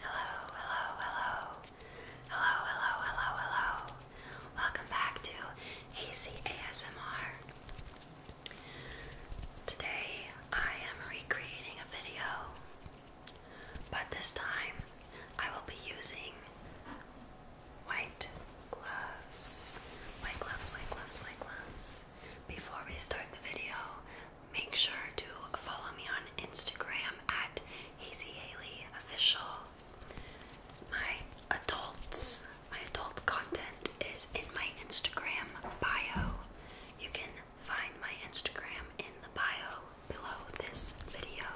Hello, hello, hello. Hello, hello, hello, hello. Welcome back to AC Today I am recreating a video, but this time I will be using white gloves. White gloves, white gloves, white gloves. Before we start the video, Make sure to follow me on Instagram at Hazy My adults, my adult content is in my Instagram bio. You can find my Instagram in the bio below this video.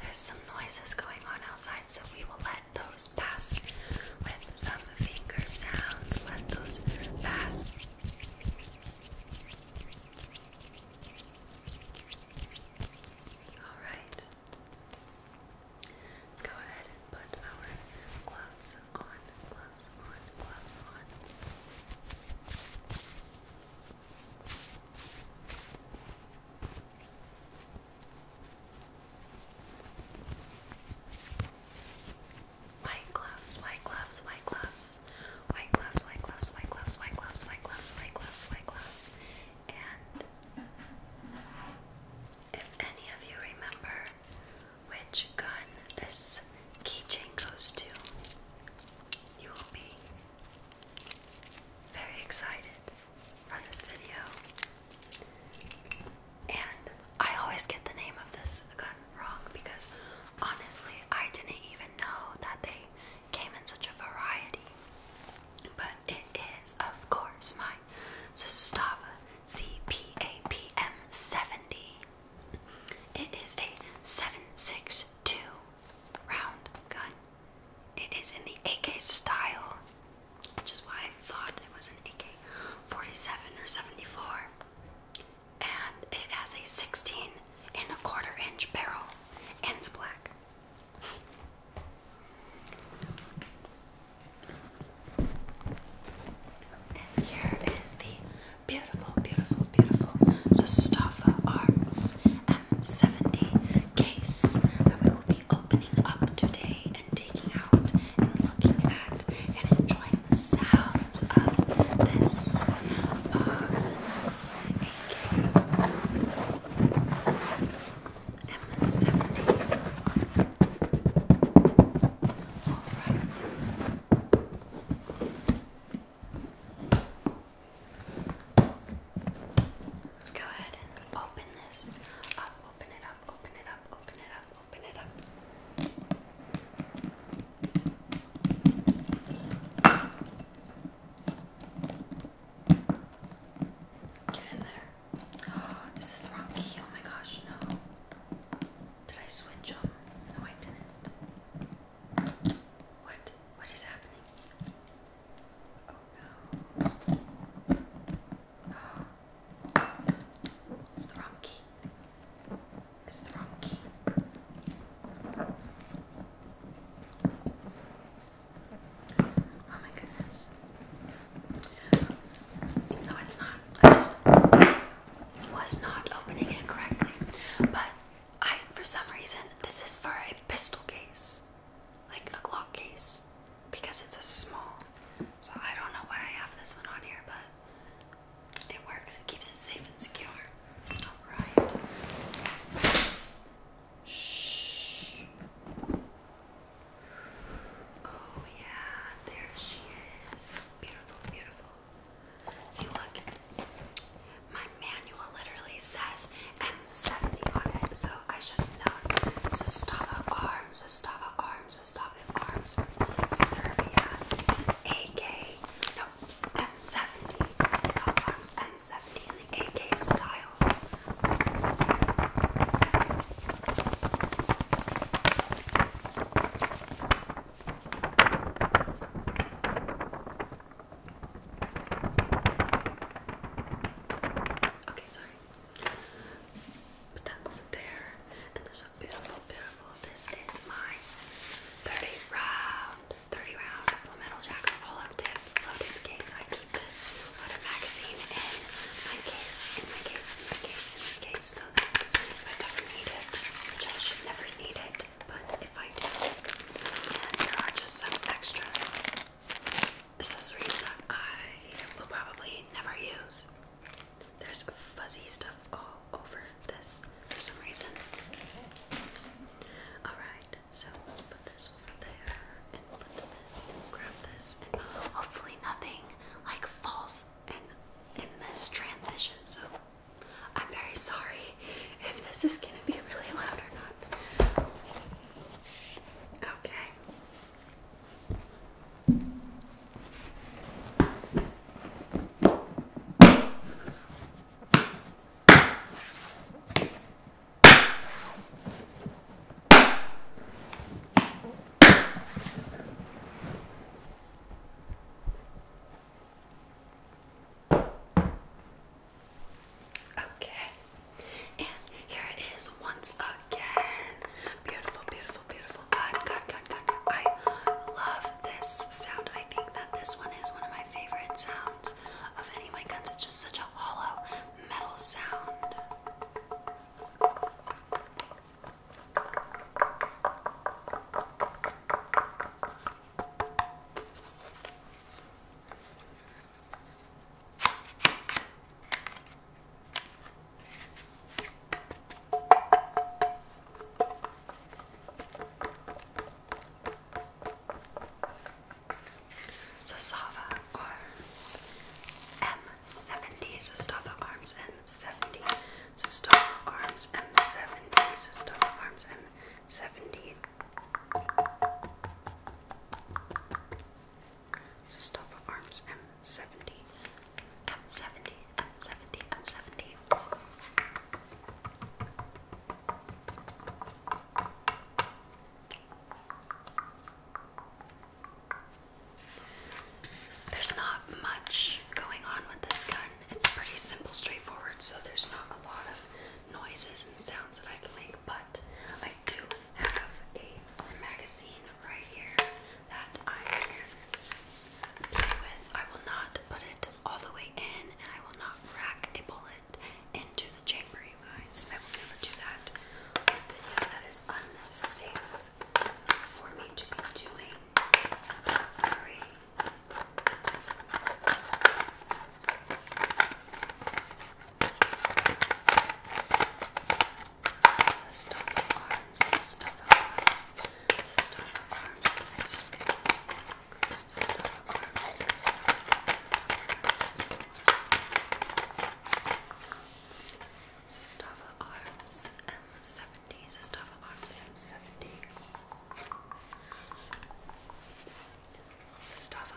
There's some noises going on outside, so we will let those pass with some finger sounds. Let those pass. All right. Let's go ahead and put our gloves on, gloves on, gloves on. White gloves, white gloves, white gloves. White gloves, white gloves, white gloves, white gloves, white gloves, white gloves, white gloves. And if any of you remember which gun this keychain goes to, you will be very excited from this video. And I always get the name of this gun wrong because honestly, I didn't even know that they came in such a variety. But it is, of course, my Sustava CPAPM70. It is a 7.62 round gun. It is in the AK style, which is why I thought it was an AK 47 or 74 and it has a 16 and a quarter inch barrel, and it's black. And here is the beautiful, beautiful, beautiful Sestava Arms M70 case that we will be opening up today and looking at and enjoying the sounds of this Let's go ahead and open this up, open it up, open it up, open it up, open it up. Get in there. Oh, is this the wrong key? Oh my gosh, no. Did I switch them? No, I didn't. What? What is happening? Oh no. Oh. It's the wrong key. It's the wrong key. Oh my goodness. No, it's not. I just was not opening it correctly. But I, for some reason, this is for a pistol case, like a Glock case, because it's a small. So I don't know why I have this one on here, but it works, it keeps us safe and secure. Alright. Shh. Oh, yeah, there she is. Beautiful, beautiful. See, look, my manual literally says M70 on it, so I should have known. Sestava arms, Sestava arms, Sestava Love Arms from Serbia. It's an AK, no, M70. It's Arms M70 in the AK style. Okay, sorry. Put that over there, beautiful, beautiful. This is my 30 round, 30 round full metal jacket all up tip, low case. I keep this out of magazine in my case, in my case, in my case, in my case, so that I ever need it, I should never need it, but if I do, and there are just some extra accessories that I will probably never use. There's fuzzy stuff all over this for some reason. Alright, so let's put this there and put this grab this and hopefully nothing like falls in in this transition. So I'm very sorry if this is gonna be really loud or not. Okay. Okay, and here it is once again. Beautiful, beautiful beautiful, beautiful. God, God, God, I love this sound. I think that this one is one of my favorite sounds of any of my guns. It's just such a hollow metal sound. Sasava Arms M70, Sastava Arms M70, Sastava Arms M70, Sastava Arms M70, Sastava Arms M70. 70. I'm 70. I'm 70. I'm 70. There's not much going on with this gun. It's pretty simple, straightforward, so there's not a lot of noises and sounds that I can make, but I do have a magazine right here that I can play with. I will not put it all the way in and I will not rack a bullet into the chamber, you guys. I will never do that That is unsafe for me to be doing. Very it's a stuff of arms, stuff of arms, it's a stuff of arms, it's a stuff of arms, it's a stuff of arms, it's a stuff of arms, it's a stuff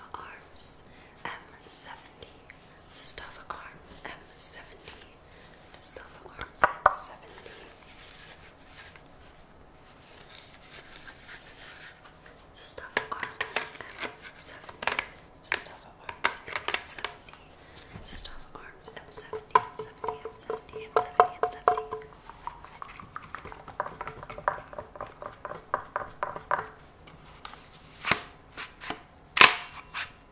of arms, M70, it's a stuff of arms, M70. Sestava Arms M70. Sestava Arms M70 and still the arms at 70. So stuff arms at 70. So stuff arms at 70. So stuff arms at 70. So arms at 70. So 70. So 70. So 70. So 70. So 70. So 70. All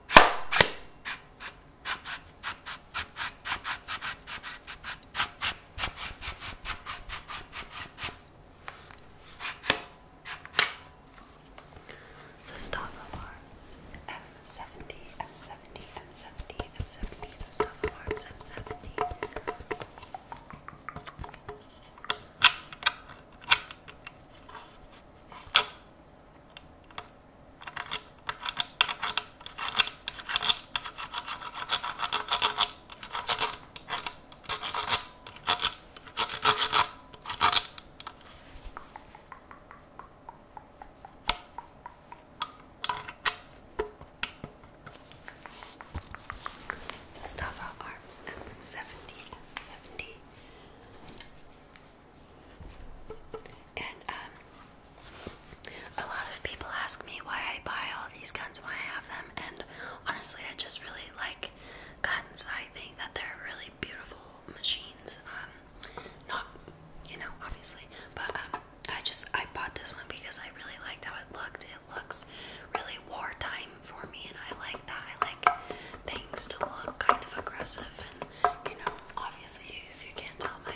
so stop alarms M70, M70, M70, M70, so stop alarms M70. So stuff our arms at 70 and 70. And um a lot of people ask me why I buy all these guns, why I have them, and honestly I just really like guns. I think that they're really beautiful machines. Um not you know, obviously, but um I just I bought this one because I really liked how it looked. It looks really wartime for me and I like that. I like things to look kind of aggressive and you know, obviously, if you can't tell, my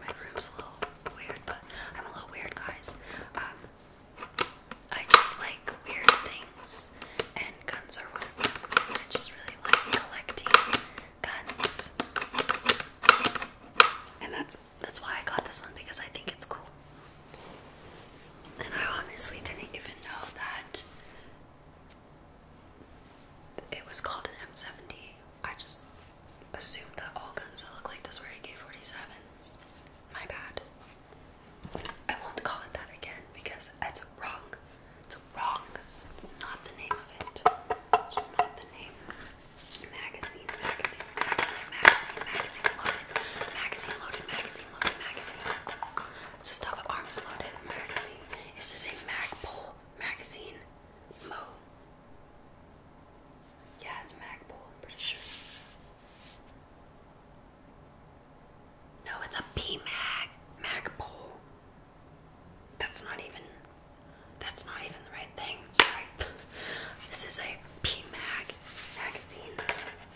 my room's a little weird, but I'm a little weird, guys. Um, I just like weird things, and guns are one of them. I just really like collecting guns, and that's that's why I got this one because I think it's cool. And I honestly didn't even know that it was called an M70. I just assumed that all guns that look like this were AK-47s. My bad. I won't call it that again because it's wrong. It's wrong. It's not the name of it. It's not the name. Magazine, magazine, magazine, magazine, magazine loaded, magazine loaded, magazine loaded, magazine. It's the arms loaded, magazine. This is a Magpul magazine. Mo. Yeah, it's Magpul, pretty sure. No, it's a P Mag. Magpul. That's not even that's not even the right thing. This is a P Mag magazine.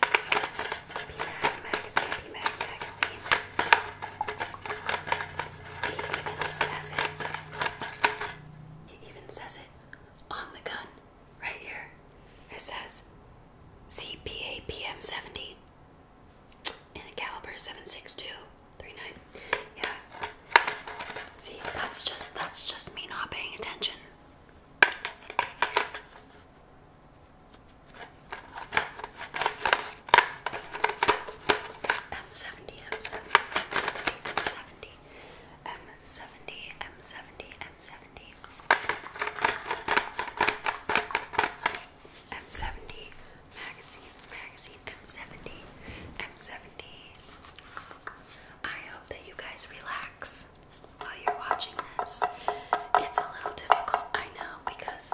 P magazine, P magazine. He even says it. He even says it on the gun right here. It says CPA 70 and a caliber 7.62 39. Yeah. See, that's just that's just me not paying attention. M70, M70, M70, M70, M70, M70, M70, M70, magazine, magazine, M70, um, M70. Um, I hope that you guys relax while you're watching this. It's a little difficult, I know, because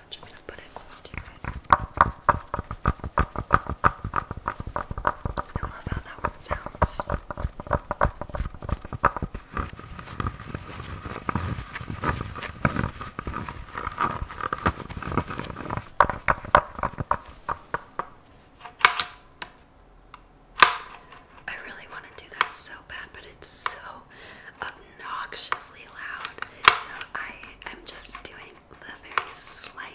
I'm gonna put it close to you guys. I love how that one sounds. I really want to do that so bad, but it's so obnoxiously loud, so I am just doing the very slight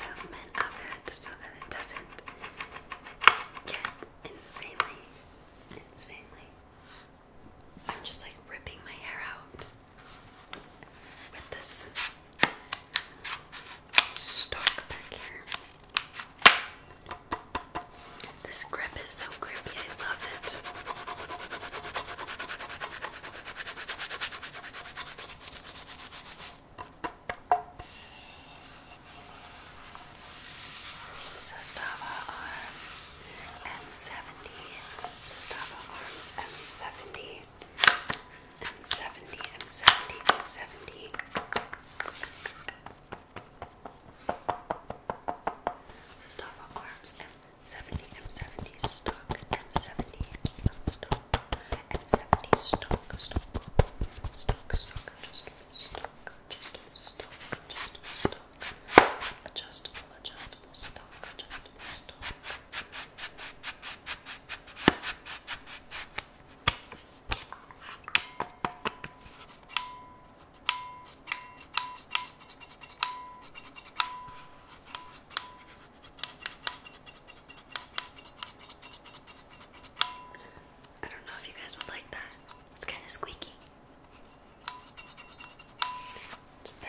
movement of it so that it doesn't get insanely, insanely. I'm just like ripping my hair out with this stalk back here. This grip is so grippy, I love it. Sestava Arms M70. Sestava Arms M70. M70, M70, M70. Mustafa Arms M70 M70 stock M70 stock M70 stock stock stock stock just stock just stock just stock adjustable adjustable stock adjustable stock I don't know if you guys would like that. It's kind of squeaky. Just that.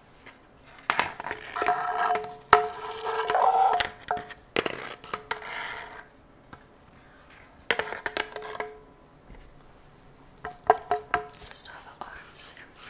Just have the arms and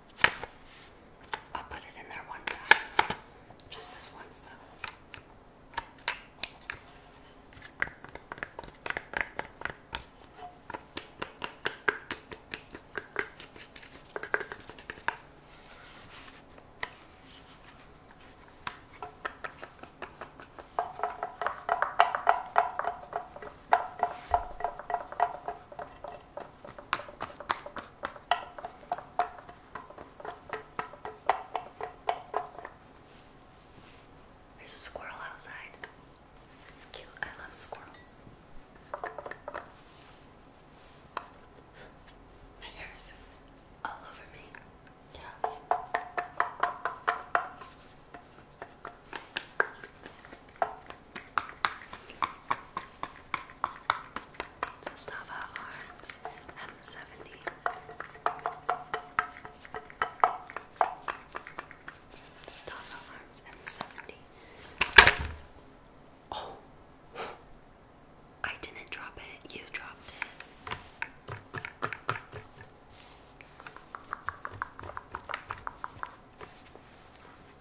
I'll put it in there one time. Just this once, though. There's a squirrel outside. It's cute. I love squirrels. My hair is all over me. Just arms M70. Just arms M70. Oh, I didn't drop it, you dropped it.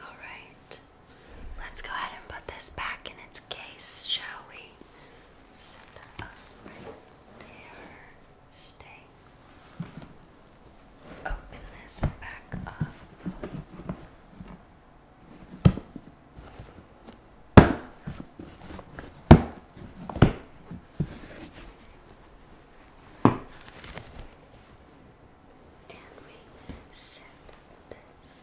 All right, let's go ahead and put this back in its case, shall we? set that up right there. Stay. Open this back up. And we set this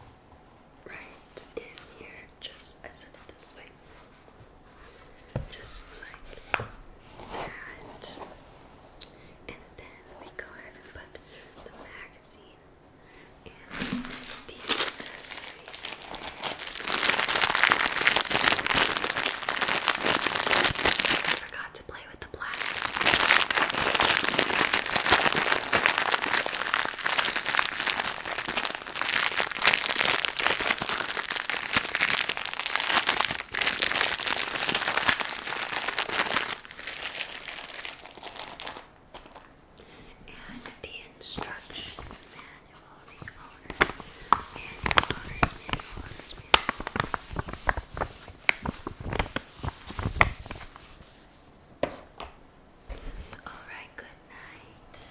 right in here, just I said it this way, just like that. And then we go ahead and put the magazine and the accessories in Forgot to play with the plastic. And the instruction manual, the owner's manual, owner's manual, owner's manual. All right, good night.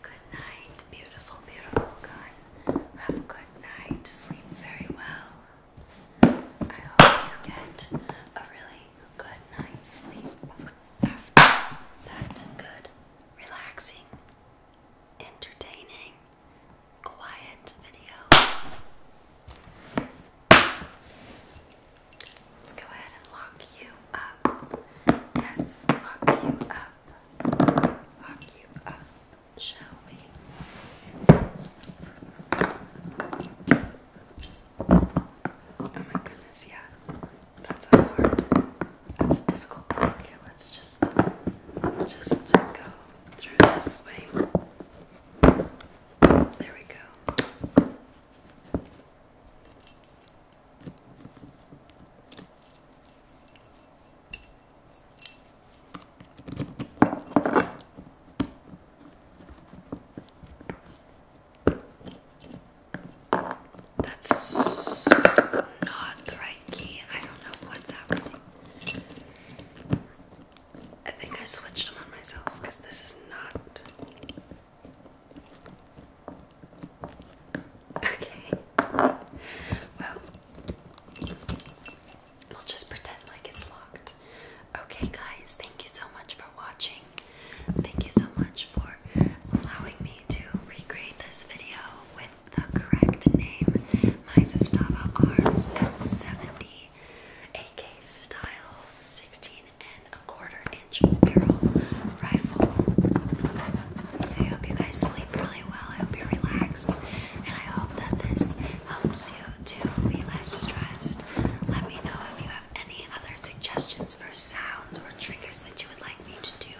Good night, beautiful, beautiful gun. Have a good night. Sleep very well. I hope you get a really good night's sleep after that good, relaxing, entertaining, quiet video. Let's go ahead and lock you up. Yes, lock you up. Lock you up, shall Oh my goodness, yeah. That's hard, that's a difficult one. Okay, let's just, just go through this way. There we go. That's so not the right key. I don't know what's happening. I think I switched them on myself because this is not Okay. Well, we'll just pretend like it's locked. Okay, guys, thank you so much for watching. Thank you so much for allowing me to recreate this video with the correct name My Zastava Arms M70 AK Style 16 and a quarter inch barrel rifle. I hope you guys sleep really well. I hope you're relaxed, and I hope that this helps you to be less stressed. Let me know if you have any other suggestions for sounds or triggers that you would like me to do.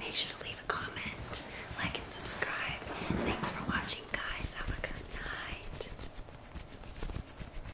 Make sure to leave a comment, like, and subscribe. Thanks for watching, guys. Have a good night.